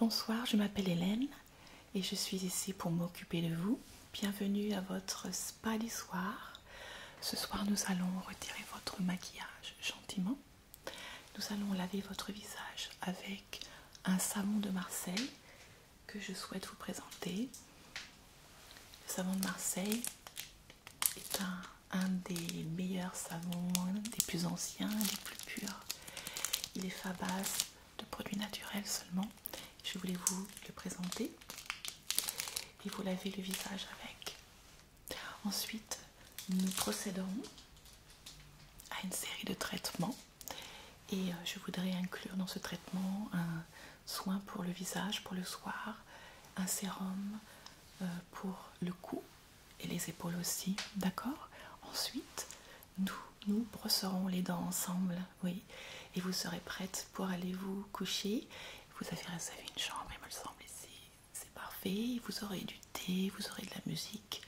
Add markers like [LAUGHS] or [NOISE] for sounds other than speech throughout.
Bonsoir, je m'appelle Hélène et je suis ici pour m'occuper de vous. Bienvenue à votre spa du soir. Ce soir, nous allons retirer votre maquillage gentiment. Nous allons laver votre visage avec un savon de Marseille que je souhaite vous présenter. Le savon de Marseille est un, des meilleurs savons, des plus anciens, des plus purs. Il est fabriqué de produits naturels seulement. Je voulais vous le présenter. Et vous lavez le visage avec Ensuite, nous procéderons à une série de traitements et euh, je voudrais inclure dans ce traitement un soin pour le visage pour le soir, un sérum euh, pour le cou et les épaules aussi, d'accord Ensuite, nous brosserons les dents ensemble, oui, et vous serez prête pour aller vous coucher. Vous avez réservé une chambre, il me semble, ici c'est parfait. Vous aurez du thé, vous aurez de la musique,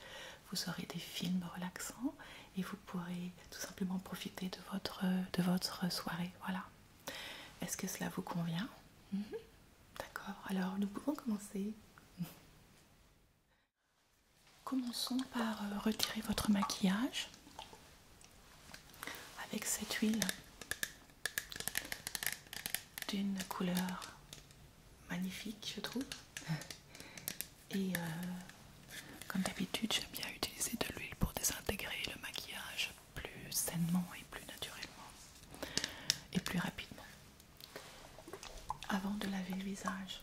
vous aurez des films relaxants et vous pourrez tout simplement profiter de votre, de votre soirée. Voilà. Est-ce que cela vous convient mhm. D'accord, alors nous pouvons commencer. [LAUGHS] Commençons par euh, retirer votre maquillage avec cette huile d'une couleur magnifique, je trouve. [LAUGHS] Et euh, comme d'habitude, j'aime bien utiliser de l'huile pour désintégrer le maquillage plus sainement et plus naturellement et plus rapidement. Avant de laver le visage.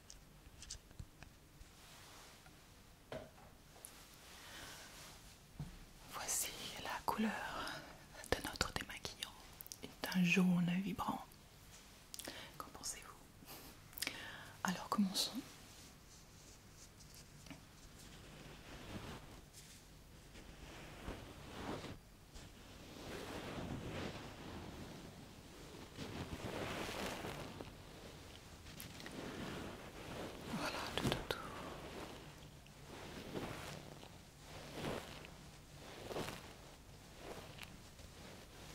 Voici la couleur de notre démaquillant. est un jaune vibrant. Qu'en pensez-vous Alors commençons. Voilà, tout tout,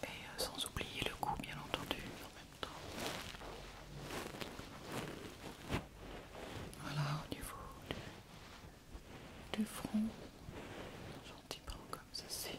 Et euh, sans oublier le cou, bien entendu, en même temps. Voilà, au niveau du, front, gentiment comme ceci.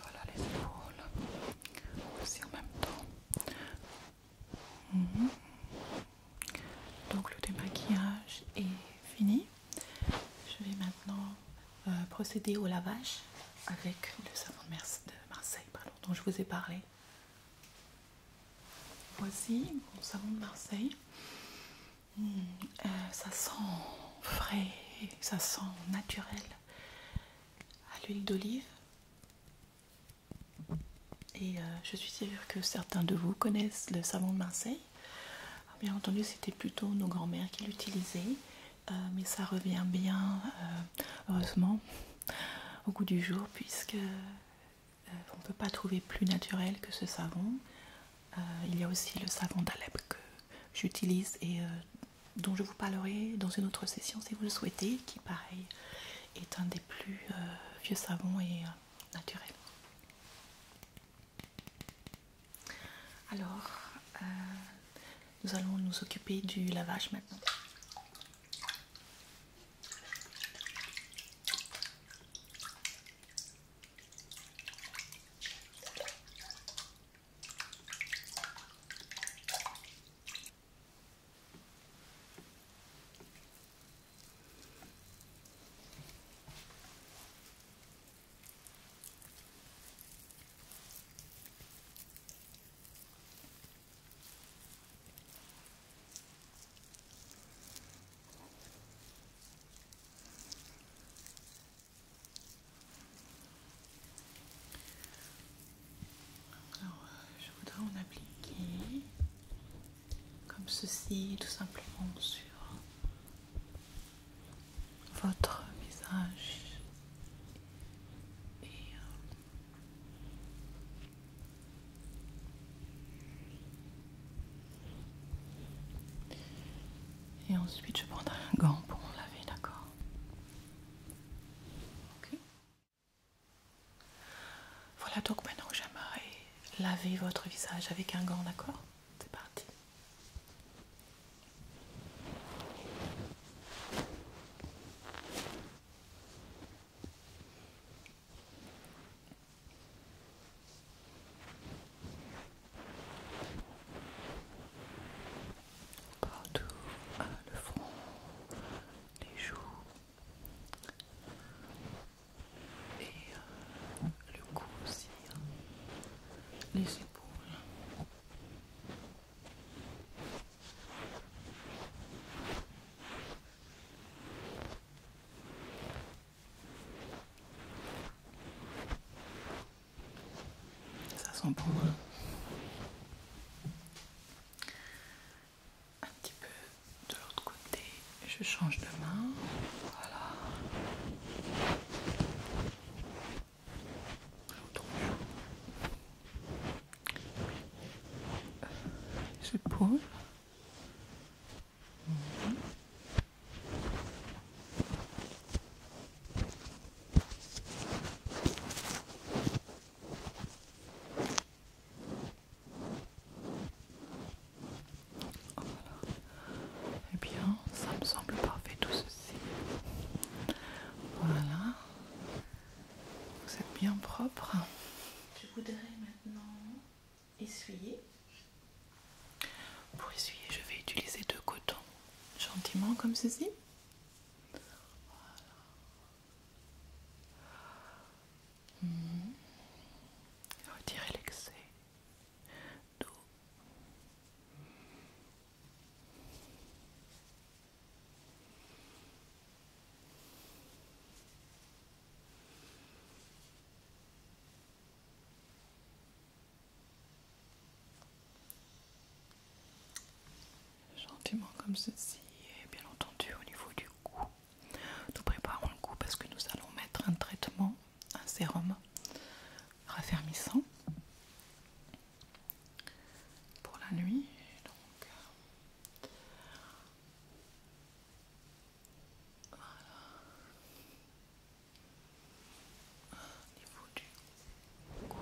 Voilà les épaules aussi en même temps. Mhm. Donc le démaquillage est fini. Je vais maintenant euh, procéder au lavage avec le savon de, Marseille dont je vous ai parlé. Voici mon savon de Marseille. Hmm, euh, ça sent frais, ça sent naturel à l'huile d'olive. Et euh, je suis sûre que certains de vous connaissent le savon de Marseille. Ah, bien entendu, c'était plutôt nos grands-mères qui l'utilisaient, euh, mais ça revient bien, euh, heureusement, au goût du jour, puisque euh, on ne peut pas trouver plus naturel que ce savon. il y a aussi le savon d'Alep que j'utilise et dont je vous parlerai dans une autre session si vous le souhaitez, qui pareil est un des plus vieux savons et naturels. Alors, euh, nous allons nous occuper du lavage maintenant. Alors, je voudrais en appliquer comme ceci, tout simplement sur votre visage euh, et ensuite je prendrai un gant pour me laver, d'accord Voilà donc maintenant j'aimerais laver votre visage avec un gant, d'accord c'est parti. Partout, le front, les joues et euh, le cou aussi, hein. les ça sent pour hein. Un petit peu de l'autre côté, je change de main. Voilà. Is it et eh bien, ça me semble parfait tout ceci. Voilà. Vous êtes bien propre. Je voudrais maintenant essuyer. Pour essuyer, je vais utiliser deux cotons. Gentiment comme ceci. Voilà. Hmm. l'excès. Gentiment comme ceci et bien entendu au niveau du cou. Nous préparons le cou parce que nous allons mettre un traitement, un sérum raffermissant pour la nuit. Donc voilà. Au niveau du cou.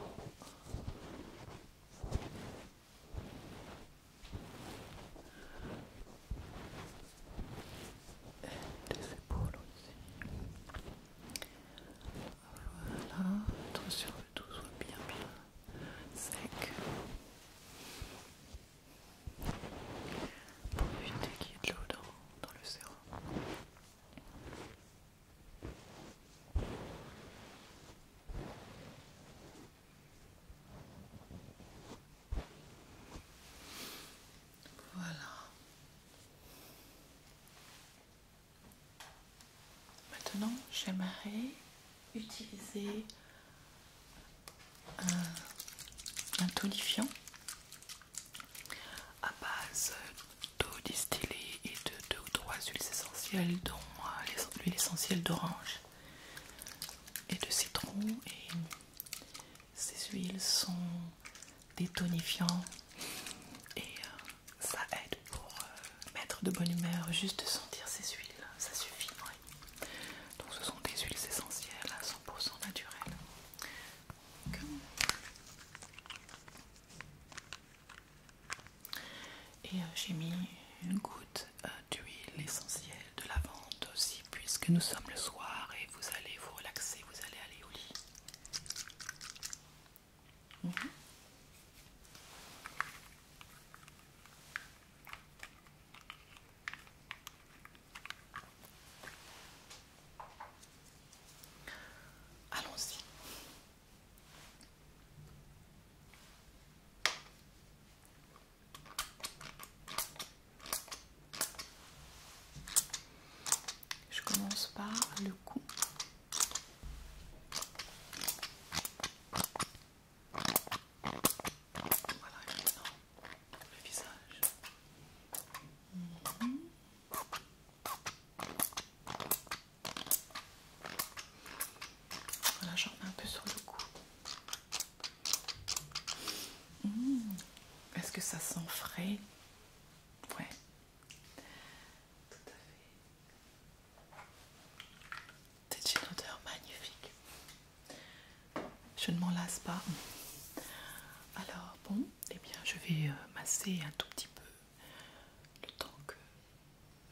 Et des épaules aussi. Voilà, être sur le dos soit bien bien sec. Pour éviter qu'il y ait de l'eau dans, le sérum. Voilà. Maintenant, j'aimerais utiliser euh, un, tolifiant tonifiant à base d'eau distillée et de deux ou trois huiles essentielles, dont euh, l'huile essentielle d'orange et de citron. Et ces huiles sont détonifiant tonifiants et euh, ça aide pour euh, mettre de bonne humeur. Juste de sentir ces huiles, ça suffit. Donc, ce sont des huiles essentielles à 100% naturelles. et euh, j'ai mis une goutte d'huile essentielle de lavande aussi, puisque nous sommes le soir et vous allez vous relaxer, vous allez aller au lit. Mhm. Allons-y. Je commence par le cou. Voilà, le visage. Mhm. Voilà, j'en mets un peu sur le cou. Mhm. Est-ce que ça sent frais Ouais, tout à fait. C'est une odeur magnifique. Je ne m'en lasse pas. Alors bon, eh bien je vais euh, masser un tout petit peu le temps que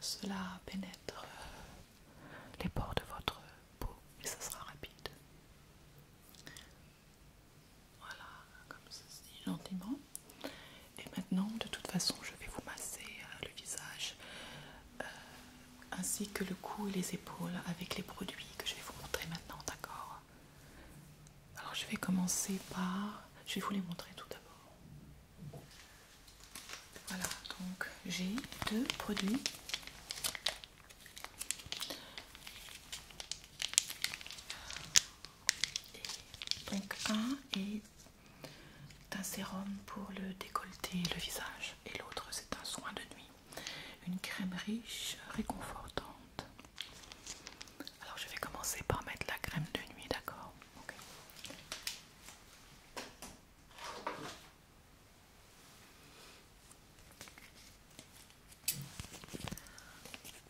cela pénètre euh, les pores de votre peau et ça sera rapide. Voilà, comme ceci, gentiment. Et maintenant, de toute façon, je vais vous masser euh, le visage euh, ainsi que le cou et les épaules avec les produits que je vais vous montrer maintenant, d'accord Alors, je vais commencer par. Je vais vous les montrer tout d'abord. Voilà, donc j'ai deux produits. Et donc un est un sérum pour le décolleté le visage et l'autre c'est un soin de nuit. Une crème riche, réconfortante. Alors je vais commencer par mettre la crème de nuit, d'accord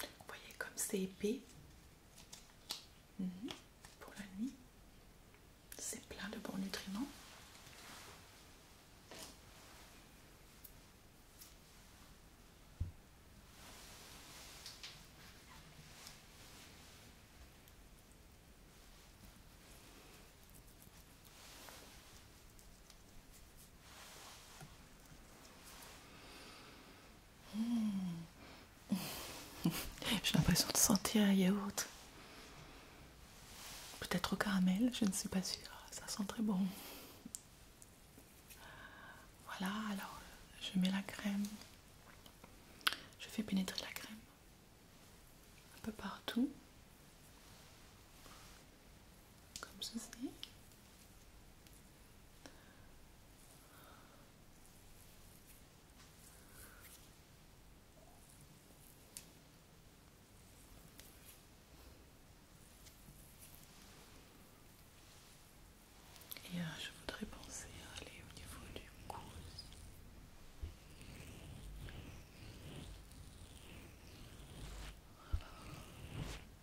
Vous voyez comme c'est épais mhm. pour la nuit. C'est plein de bons nutriments. J'ai l'impression de sentir un yaourt. Peut-être au caramel, je ne suis pas sûre. Ça sent très bon. Voilà, alors je mets la crème. Je fais pénétrer la crème un peu partout. Comme ceci. Et euh, je voudrais penser à aller au niveau du cou.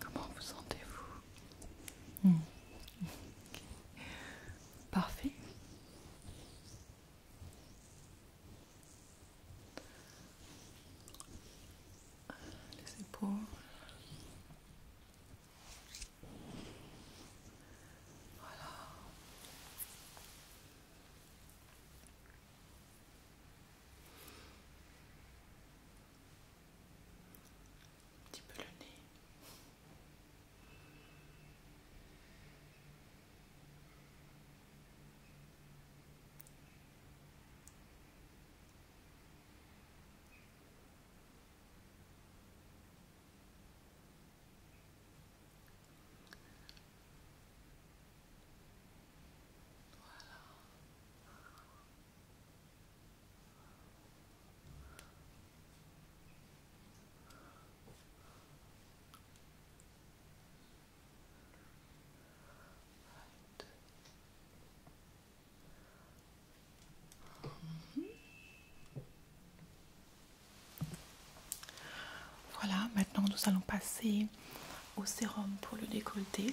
Comment vous sentez-vous hmm. Parfait. Voilà. Un petit peu le nez. Voilà. Voilà, maintenant nous allons passer au sérum pour le décolleté.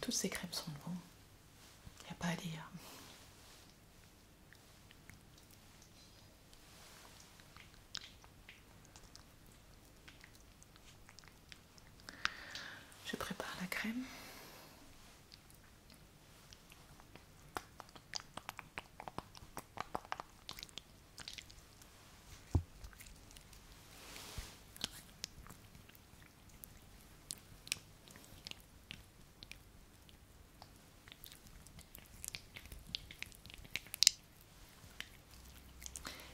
Toutes ces crèmes sont bonnes. Il a pas à dire. Je prépare la crème.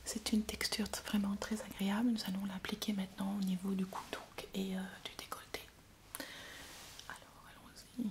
C'est une texture vraiment très agréable. Nous allons l'appliquer maintenant au niveau du cou et euh, du décolleté. Alors allons-y.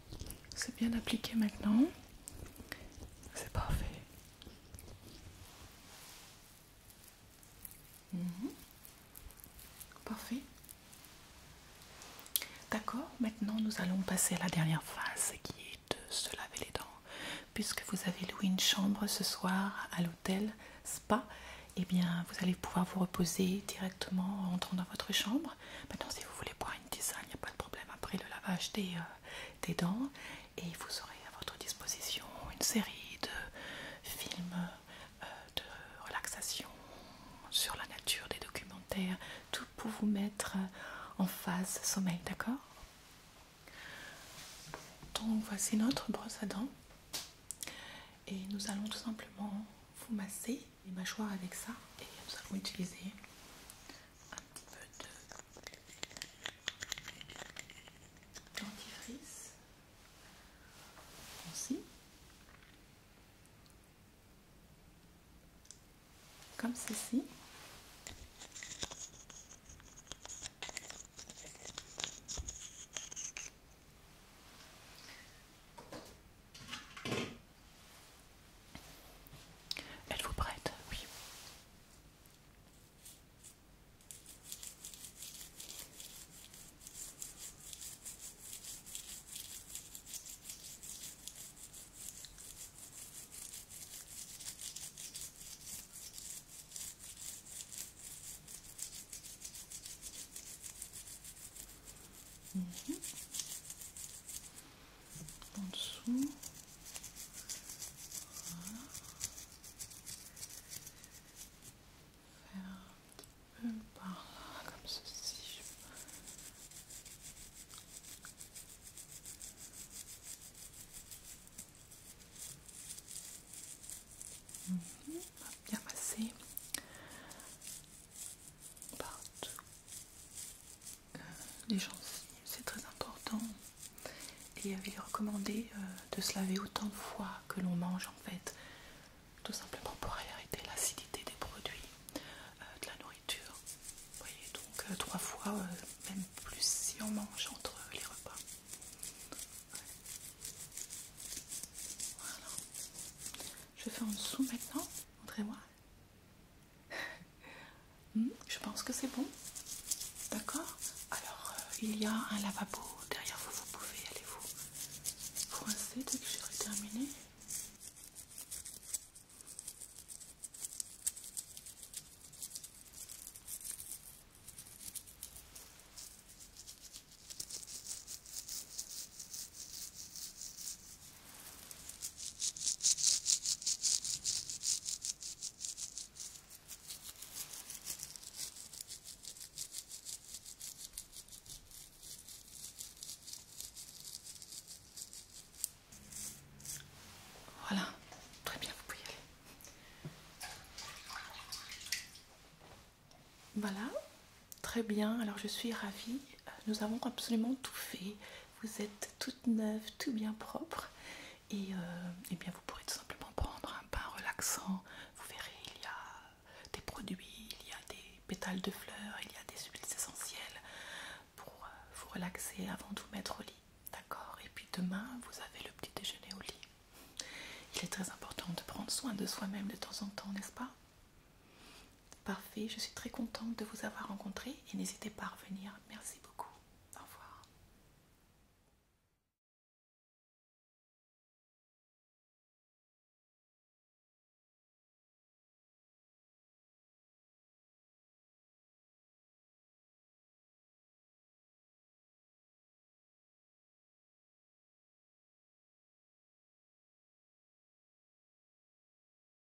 C'est bien appliqué maintenant. C'est parfait. Mhm. Parfait. D'accord, maintenant nous allons passer à la dernière phase qui est de se laver les dents. Puisque vous avez loué une chambre ce soir à l'hôtel Spa, et eh bien vous allez pouvoir vous reposer directement en rentrant dans votre chambre. Maintenant, si vous voulez boire il n'y a pas de problème après le lavage euh, des, dents. Et vous aurez à votre disposition une série de films euh, de relaxation sur la nature, des documentaires, tout pour vous mettre euh, en phase sommeil, d'accord Donc voici notre brosse à dents. Et nous allons tout simplement vous masser les mâchoires avec ça et vous utiliser un petit peu de dentifrice aussi comme ceci elle vous prête Oui. Mhm en dessous. Faire un petit peu par là, comme ceci. Mhm, bien passé euh, les gencives, c'est très important. Et il avait recommandé euh, de se laver autant de fois que l'on mange en fait, tout simplement pour arrêter l'acidité des produits, euh, de la nourriture. voyez, donc trois fois, même plus si on mange entre les repas. Voilà. Je fais en dessous maintenant, montrez-moi. Hmm, je pense que c'est bon. D'accord Alors, euh, il y a un lavabo derrière vous. Vous pouvez aller vous coincer dès que j'aurai terminé. Voilà, très bien, vous pouvez y aller. Voilà, très bien, alors je suis ravie. Nous avons absolument tout fait vous êtes toute neuve, tout bien propre, et, euh, eh bien vous pourrez tout simplement prendre un pain relaxant. Vous verrez, il y a des produits, il y a des pétales de fleurs, il y a des huiles essentielles pour euh, vous relaxer avant de vous mettre au lit. D'accord Et puis demain, vous avez le petit déjeuner au lit. Il est très important de prendre soin de soi-même de temps en temps, n'est-ce pas Parfait, je suis très contente de vous avoir rencontré et n'hésitez pas à revenir. Merci beaucoup. Au revoir.